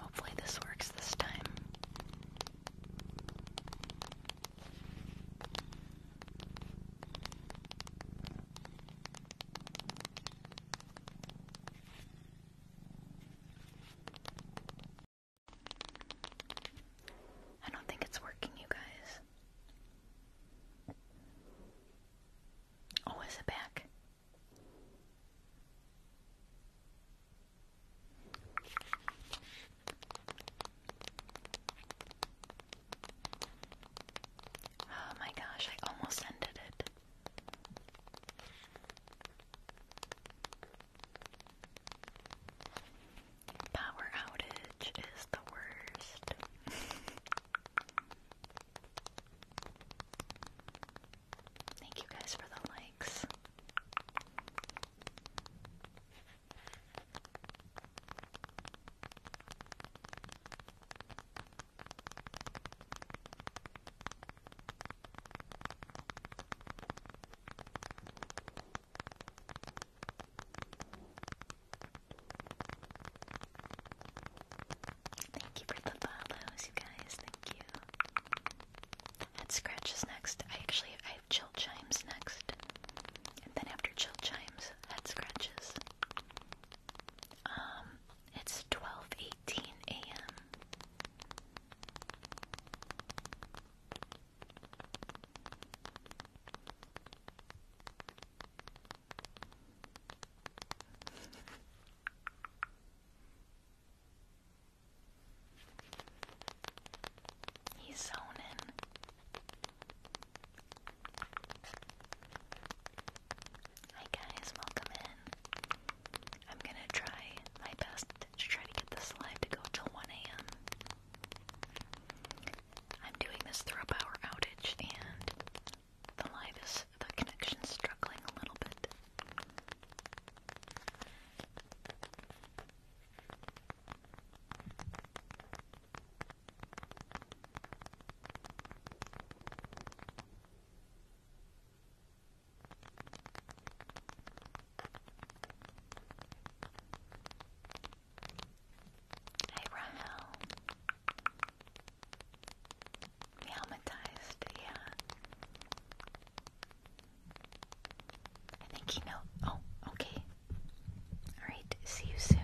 Hopefully, this works this time. I don't think it's working, you guys. Oh, is it back? Oh my gosh, I almost ended it. Power outage is the worst. Thank you guys for the likes. Thank you for the follows, you guys. Thank you. And scratches next. I actually I have Chill Chimes next. And then after Chill Chimes, Head Scratches. Um, it's 12:18 a.m. He's zoning. Hi guys, welcome in. I'm gonna try my best to try to get this live to go till 1 a.m. I'm doing this through a power outage and the line is the connection struggling a little bit. Hey Rahel. Traumatized, yeah. I think he know. Oh, okay. Alright, see you soon,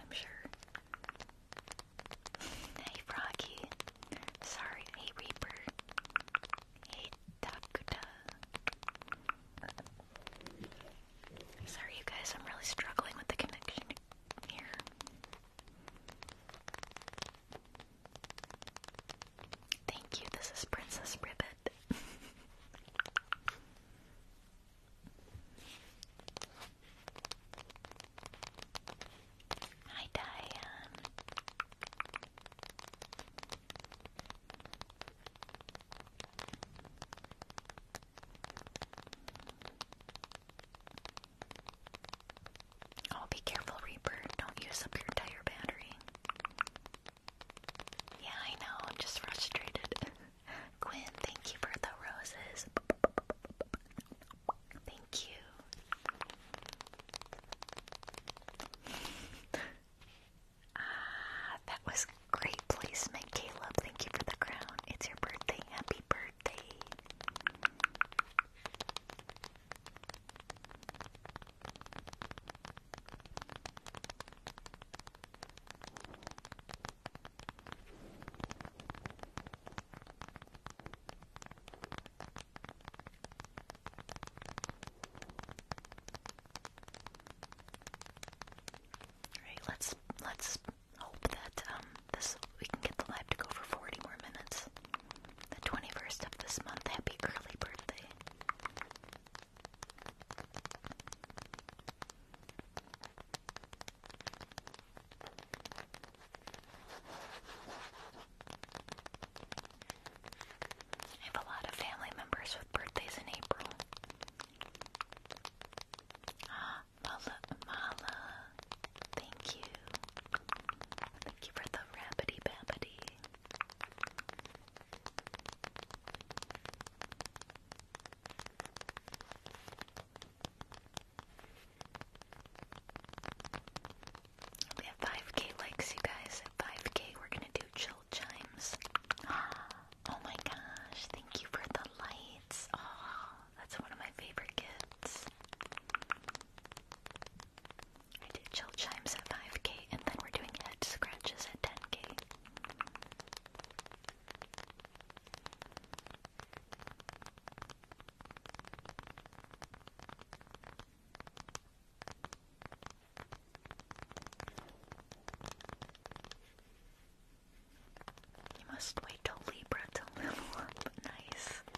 I'm sure. hey, Froggy. Sorry, hey, Reaper. Hey, Dakuta. Sorry, you guys, I'm really struggling with the connection here. Thank you, this is Princess Ribbit. Hi, Diane. Oh, be careful, Reaper. Don't use up your entire battery. Yeah, I know. I'm just frustrated. Quinn, thank you for the roses. Thank you. Ah, that was great placement, Caleb. Thank you for the crown. It's your birthday. Happy birthday. All right, let's let's hope that um this we can get the live to go for 40 more minutes. The 21st of this month. Happy early birthday. I have a lot of family members with birthdays in April. Ah, Mala, Mala, thank you. Thank you for the rabbity babbity. We have 5k likes, you guys. 5k, we're gonna do chill chimes. Oh my gosh, thank you for the lights. Oh, that's one of my favorite gifts. I do chill chimes at 5k, and then we're doing head scratches at 10k. You must wait till Libra to level up. Nice.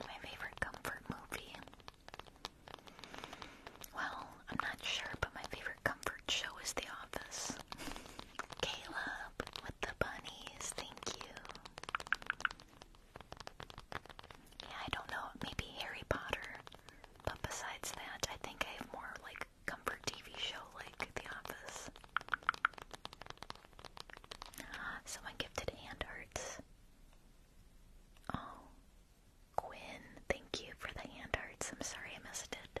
My favorite comfort movie. Well, I'm not sure, but my favorite comfort show is The Office. Caleb with the bunnies, thank you. Yeah, I don't know, maybe Harry Potter. But besides that, I think I have more like comfort TV show like The Office. Someone gifted hand hearts. Oh, Quinn, thank you for the hand hearts. I'm sorry I missed it.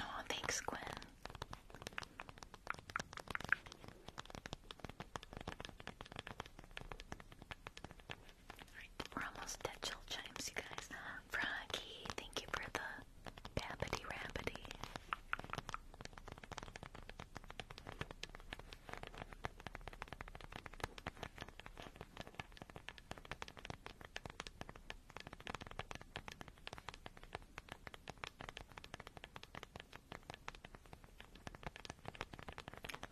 oh, thanks, Quinn. we're almost at chill chimes, you guys. Froggy, thank you for the babbity rabbity.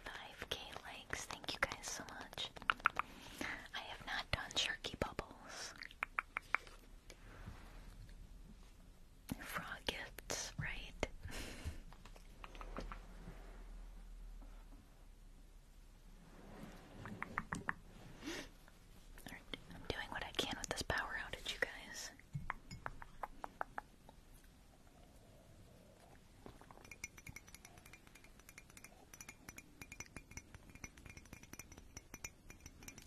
5k likes, thank you guys so much. I have not done jerky Bubbles frog gifts, right? I'm doing what I can with this power outage, you guys.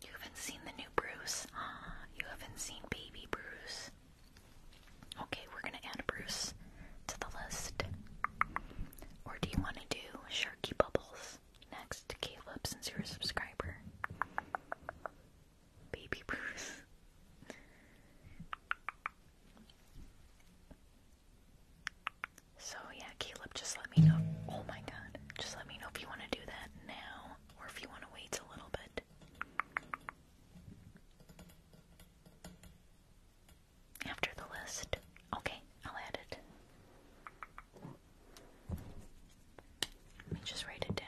You haven't seen the new Bruce? You haven't seen baby Bruce? Okay, we're gonna add Bruce to the list. Or do you want to do Sharky Bubbles next, Caleb, since you're a subscriber? Baby Bruce. So yeah, Caleb, just let me know. Oh my god. Just let me know if you want to do that now or if you want to wait a little bit. After the list. Okay, I'll add it. Let me just write it down.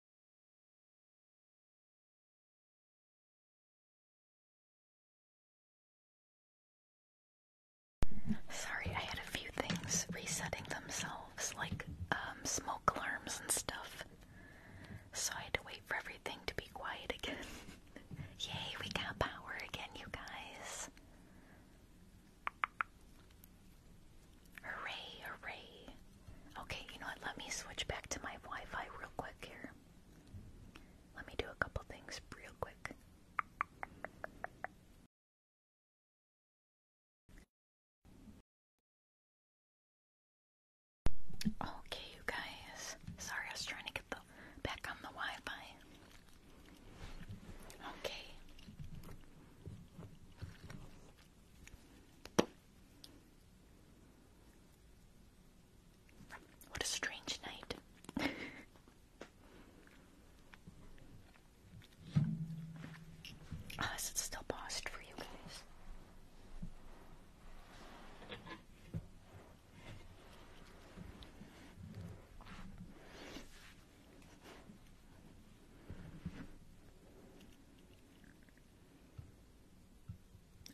Sorry, I had a few things resetting themselves, like um, smoke alarms and stuff. So I had to wait for everything to be quiet again. Yay, we got power again, you guys. Hooray, hooray. Okay, you know what? Let me switch back to my Wi Fi real quick here. Let me do a couple things real quick. Okay, you guys. Sorry, I was trying to get the back on the Wi-Fi. Okay. What a strange night. is it still paused for you guys?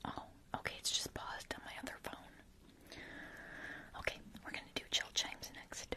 Oh, okay, it's just paused on my other phone. Okay, we're gonna do chill chimes next.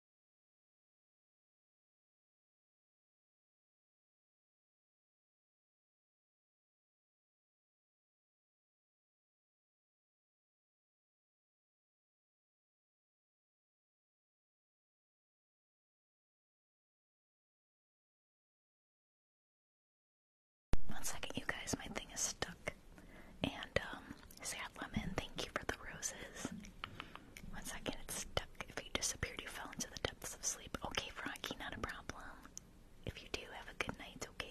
One second, you guys, my thing is stuck. And, um, Sad Lemon, thank you for the roses. One second, it's stuck. If you disappeared, you fell into the depths of sleep. Okay, Frankie, not a problem. If you do, have a good night, okay?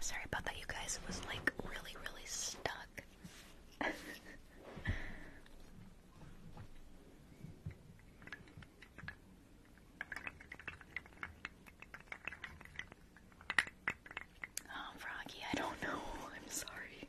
Sorry about that, you guys. It was like really, really stuck. Oh, Froggy, I don't know. I'm sorry.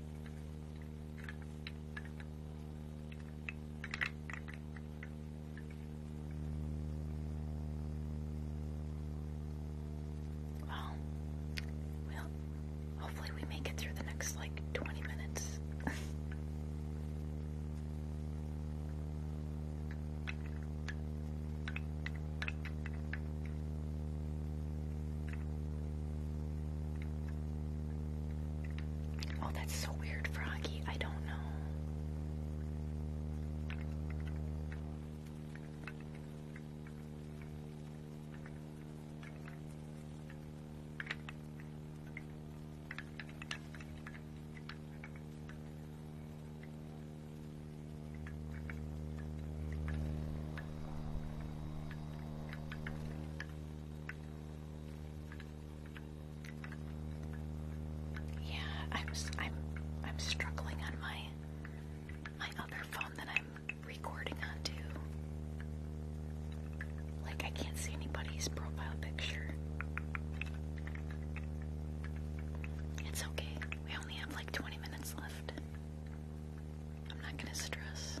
Well, well, hopefully we make it through the next like 20 minutes. Oh, that's so weird, Froggy. I don't know. Yeah, I'm I'm I'm struggling on my my other phone that I'm recording on too. Like I can't see anybody's profile picture. It's okay. We only have like 20 minutes left. I'm not going to stress.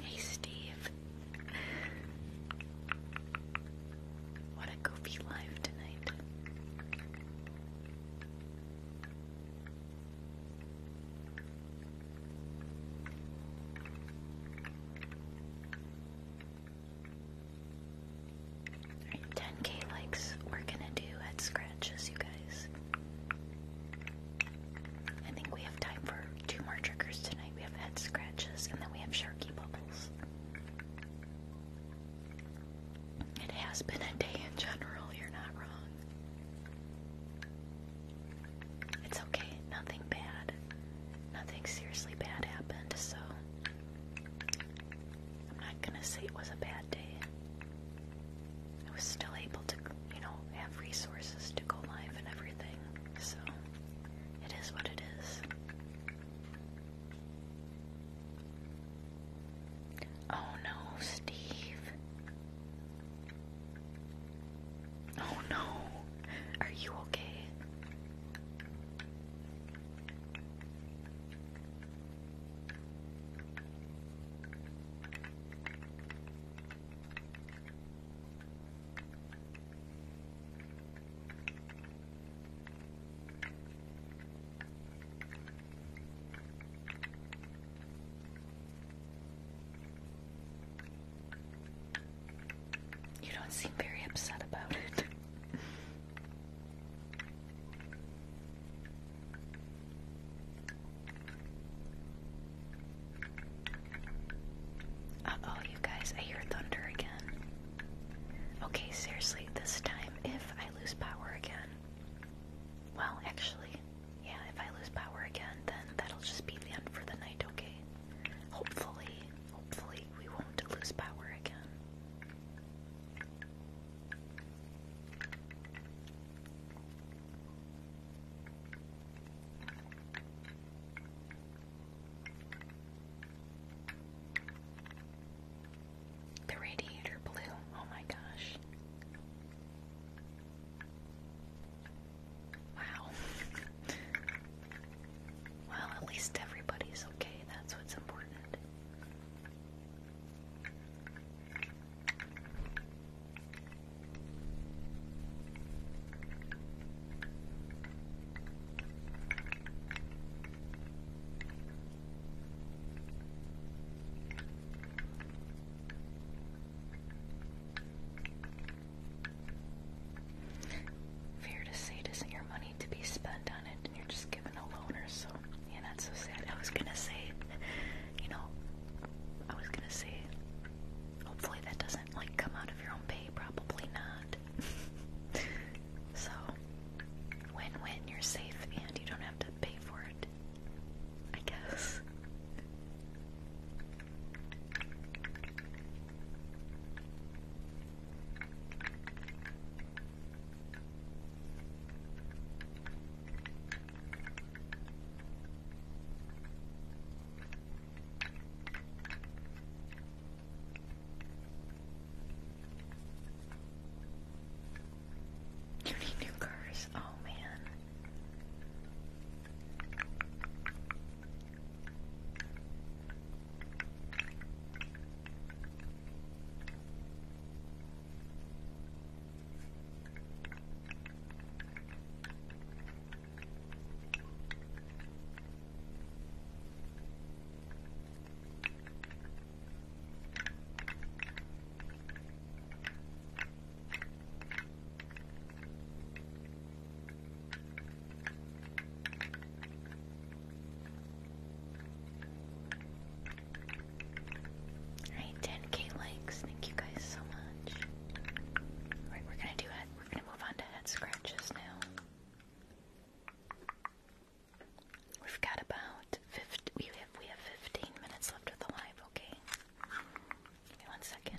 Hey, Steve. What a goofy live tonight. 10k likes we're gonna do at scratches, you guys. I think we have time for two more triggers tonight. We have head scratches, and then we have sharky bubbles. It has been a day in general, you're not wrong. It's okay, nothing bad. Nothing seriously bad happened, so I'm not gonna say it was a bad day. I was still able to, you know, have resources to go live and everything, so it is what it is. Oh no, Steve. Oh no. Are you okay? You don't seem very upset about it oh, you guys, I hear thunder again. Okay, seriously, this time, if I lose power again, well, actually, yeah, if I lose power again, then that'll just be the end for the night, okay? Hopefully, hopefully, we won't lose power again. The radiator blew. Oh my gosh. Wow. Well, at least everybody's okay. That's what's important. Fear to say it isn't your money to be spent on it, and you're just given a loaner, so yeah, that's so sad. I was gonna say, you know, I was gonna say Hopefully that doesn't like come out of your own pay, probably not. so win win, you're safe and you don't have to pay for it. I guess. You need new cars. Oh man. Alright, 10k likes, thank you guys so much. Alright, we're gonna do a we're gonna move on to head scratches now. We've got about 50, we have we have 15 minutes left of the live, okay? one second.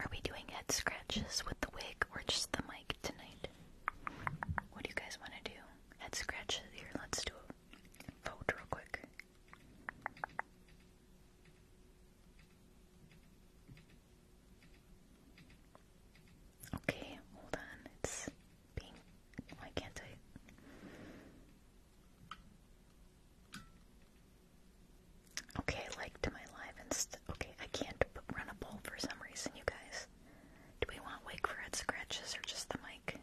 Are we doing head scratches with the wig or just the mic tonight? What do you guys want to do? Head scratches here. Let's do a vote real quick. Okay, hold on. It's being. Why can't I? Okay, like my live Okay, I can't run a poll for some reason, you guys. Do we want Wake for head scratches or just the mic?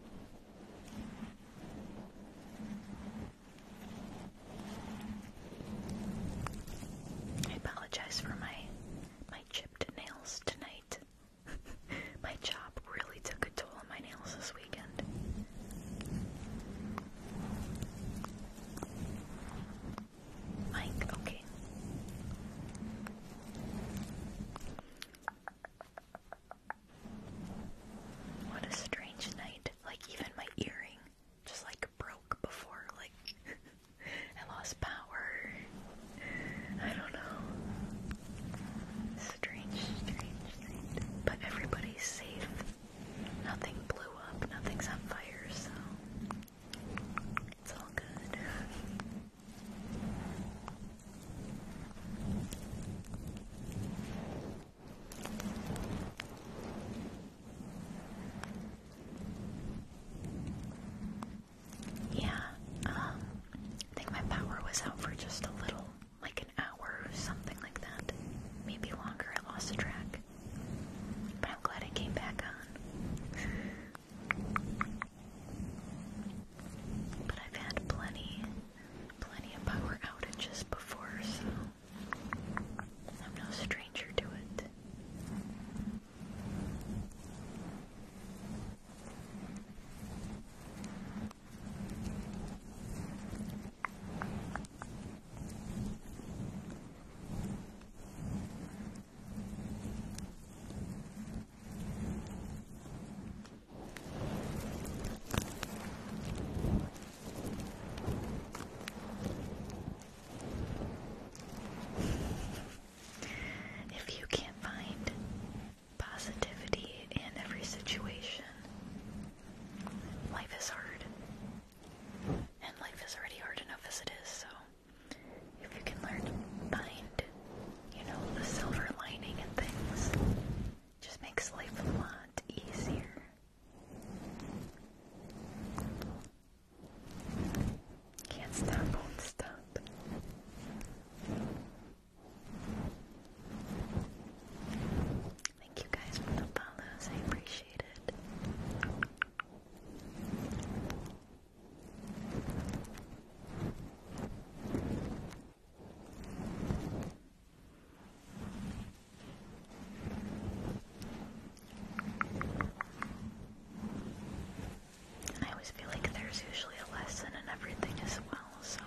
I apologize for my my chipped nails tonight. my job really took a toll on my nails this week weekend. Mike, okay. What a strange night. Like, even my earring just like broke before, like, I lost power. I don't know. Strange, strange, strange. But everybody's safe. Nothing blew up, nothing's on fire, so it's all good. Yeah, um, I think my power was out for just a little like an hour something like that. Maybe longer, I lost the track. But I'm glad I came back on. But I've had plenty, plenty of power outages before, so I'm no stranger to it. If you can't find positivity in every situation, life is hard. And life is already hard enough as it is, so if you can learn to find, you know, the silver lining and things, just makes life a lot easier. Can't stop, won't stop. Thank you guys for the follows. I appreciate it. I always feel like there's usually a lesson in everything as well, so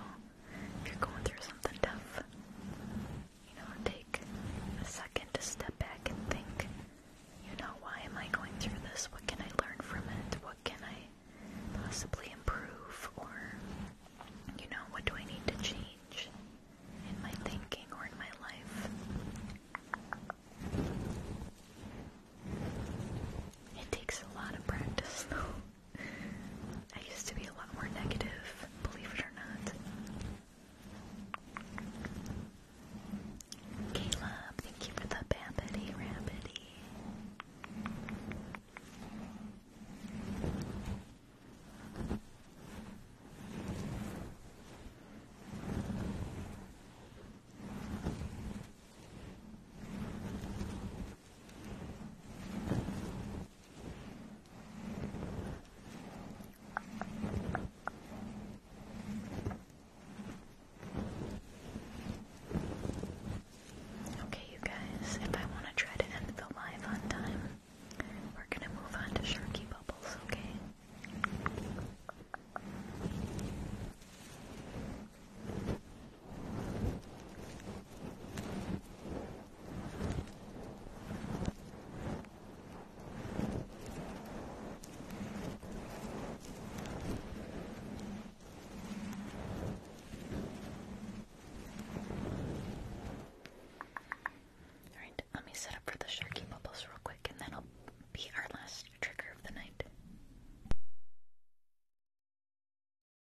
if you're going through something tough, you know, take a second to step back and think, you know, why am I going through this? What can I learn from it? What can I possibly improve? Or, you know, what do I need to change in my thinking or in my life? It takes a lot of practice, though. I used to be a lot more negative, believe it or not. Caleb, thank you for the babbity rabbity. Okay, you guys, if I want to try to end the live on time, we're gonna move on to Sharky Bubbles, okay? Alright, let me set up for the sharky bubbles real quick and then i will be our last trigger of the night.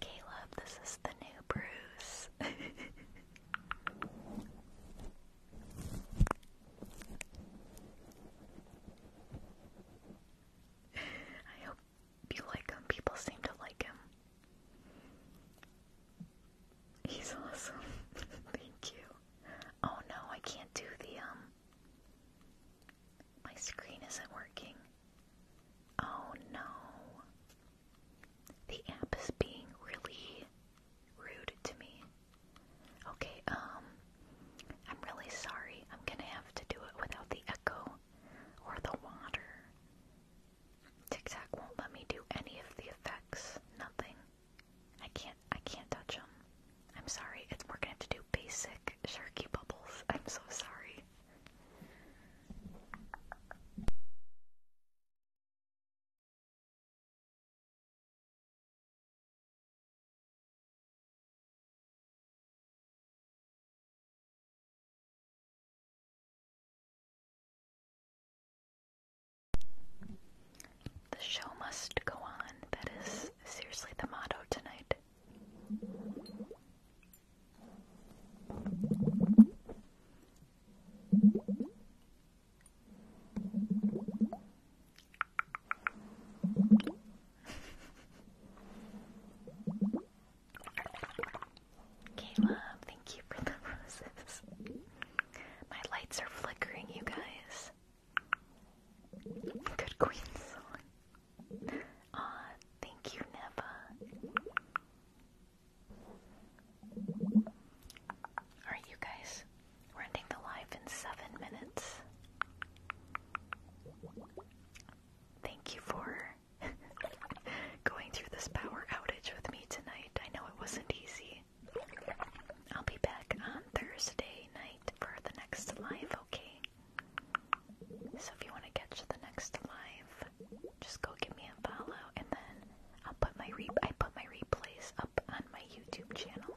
Caleb, this is the new Bruce. I hope you like him. People seem to like him. He's awesome. Thank you. Oh no, I can't do the um my screen isn't working. Oh no. The app is being really rude to me. Okay, um I'm really sorry. I'm going to have to do it without the echo or the water. Tic Tac won't let me do any of the effects. Nothing. I can't. I can't touch them. I'm sorry. It's working are have to do basic sharky bubbles. I'm so sorry. The show must go on. That is seriously the motto tonight. Caleb, thank you for the roses. My lights are flickering, you guys. Good Queen song. thank you, Neva. Alright, you guys. ending the live in seven minutes. Thank you for going through this power outage with me tonight. I know it wasn't easy. I'll be back on Thursday night for the next live, okay? So if you want to catch the next live, just go give me a follow and then I'll put my re I put my replays up on my YouTube channel.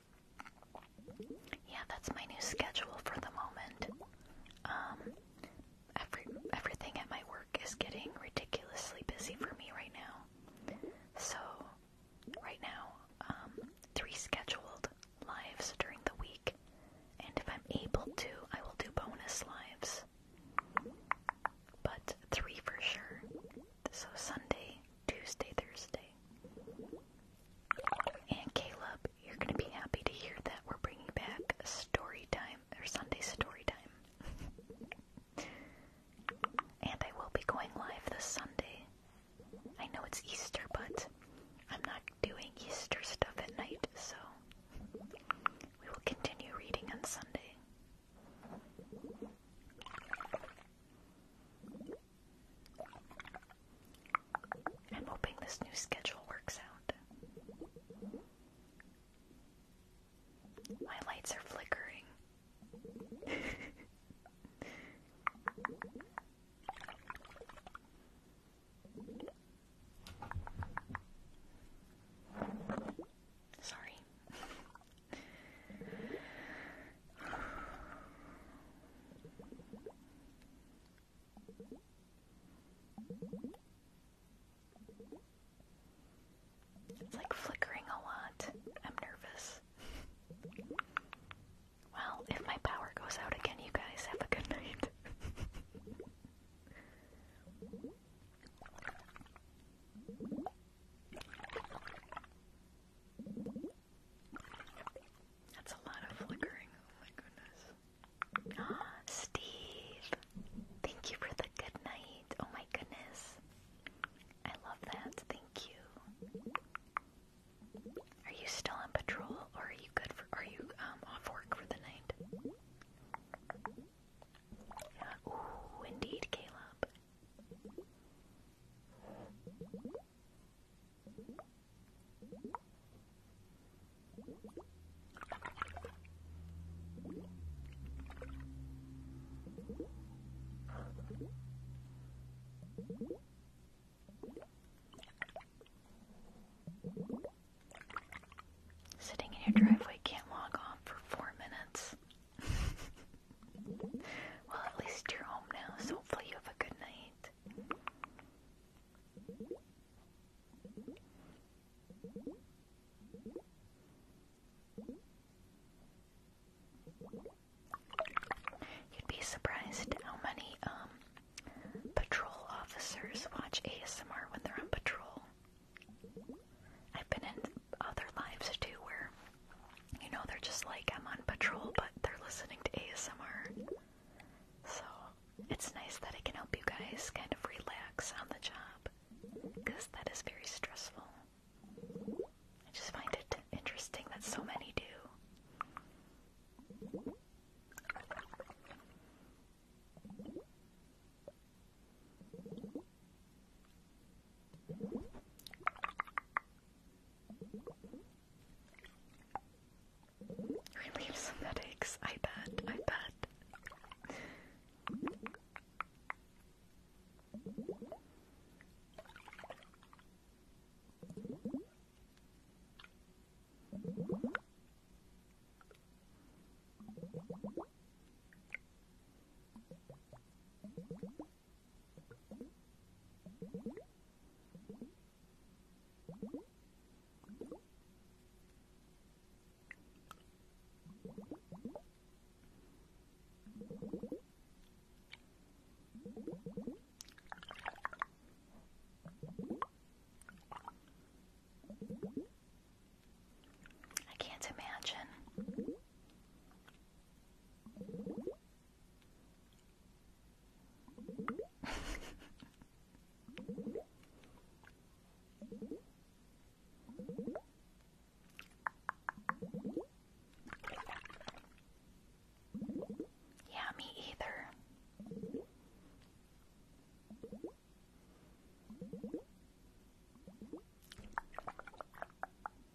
Yeah, that's my new schedule for the moment. Um, every everything at my work is getting ridiculously busy for me right now. So, right now, um, three scheduled lives during the week, and if I'm able to, I will do bonus lives. But three for sure. So Sunday, Tuesday, Thursday. And Caleb, you're gonna be happy to hear that we're bringing back story time or Sunday story time. and I will be going live this Sunday. I know it's Easter, but I'm not doing Easter stuff at night, so we will continue reading on Sunday. I'm hoping this new schedule works out. My lights are flickering. Sorry. It's like flickering a lot. I'm nervous. Well, if my power goes out again, you guys have a good night. That's a lot of flickering. Oh my goodness. Ah, Steve, thank you for the good night. Oh my goodness. I love that. Thank you. Are you still on patrol or are you good for are you um, off work for the night? indeed, Caleb. Sitting in your driveway can't log off for four minutes. Well, at least you're home now, so hopefully you have a good night. You'd be surprised how many um, patrol officers watch ASMR when they're on patrol. I've been in other lives too where you know, they're just like, I'm on patrol, but they're listening to ASMR. So it's nice that I can help you guys kind of relax on the job because that is very stressful. I just find it interesting that so many do. Relieve some headaches, I bet, I bet. I can't imagine yeah, me either.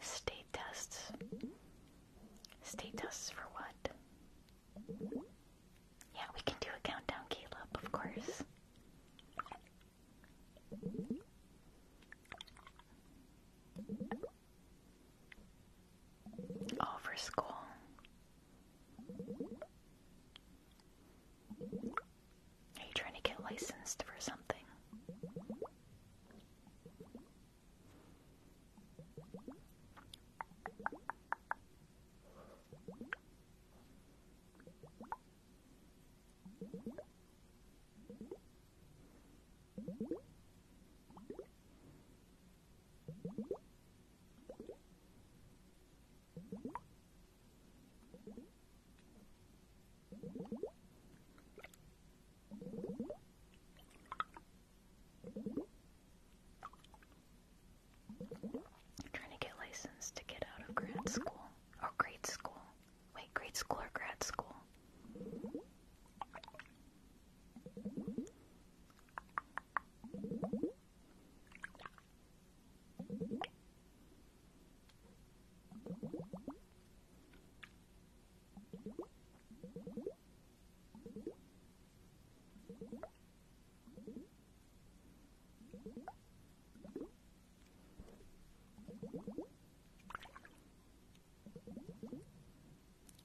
State tests. State tests for what? Yeah, we can do a countdown, Caleb, of course. All for school. Are you trying to get licensed for something? trying to get licensed to get out of grad school or grade school. Wait, grade school or grad school?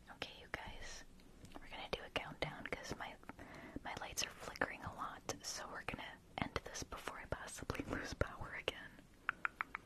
Okay, you guys, we're gonna do a countdown because my my lights are flickering a lot, so we're gonna end this before I possibly lose power again.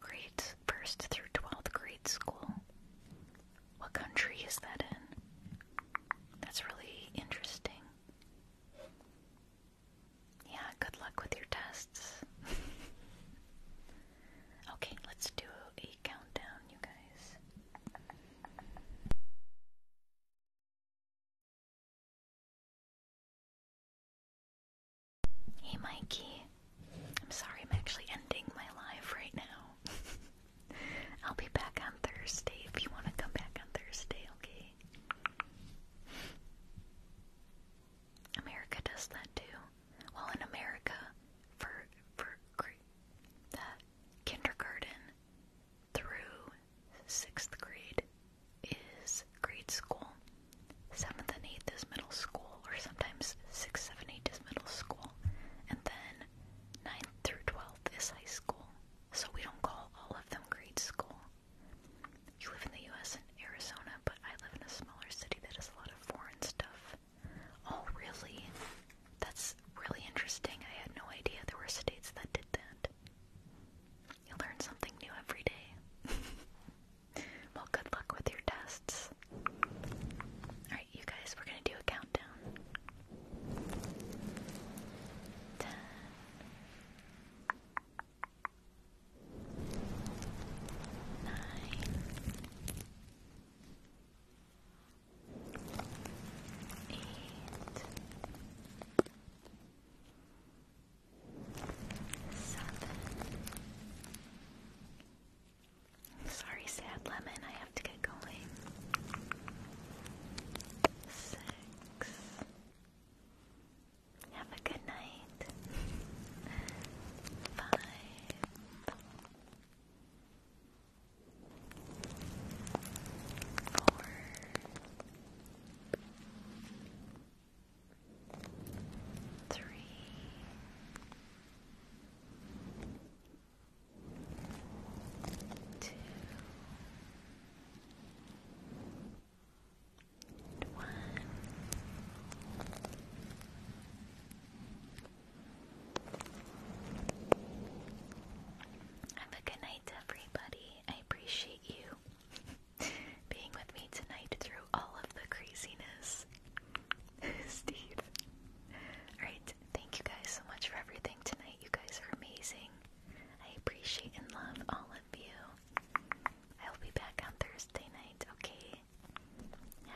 grades, first through 12th grade school. What country is that in? That's really interesting. Yeah, good luck with your tests. okay, let's do a countdown, you guys. Hey Mikey. I'm sorry I'm actually ending my live right now. I'll be back on Thursday if you want to come back on Thursday, okay? America does that too. Well, in America, for for the kindergarten through sixth grade is grade school. 7th and 8th is middle school, or sometimes sixth, 7, 8 is middle school, and then 9th through 12th is high school. So we don't call all of them grade school. You live in the US and Arizona, but I live in a smaller city that has a lot of foreign stuff. Oh, really? That's really interesting. I had no idea there were states that did that. You learn something new every day. Well, good luck with your tests. Alright, you guys, we're gonna do a countdown. Ten. Sorry, sad lemon, I have to get going. Have a good night. Five. Four. Three two, one. Have a good night, everybody. I appreciate you being with me tonight through all of the craziness. Steve. Alright, thank you guys so much for everything tonight. You guys are amazing. I appreciate and love all of you. I'll be back on Thursday night, okay?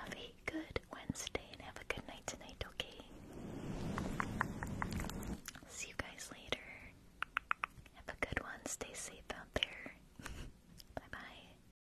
Have a good Wednesday and have a good night tonight, okay? See you guys later. Have a good one. Stay safe out there. Bye bye.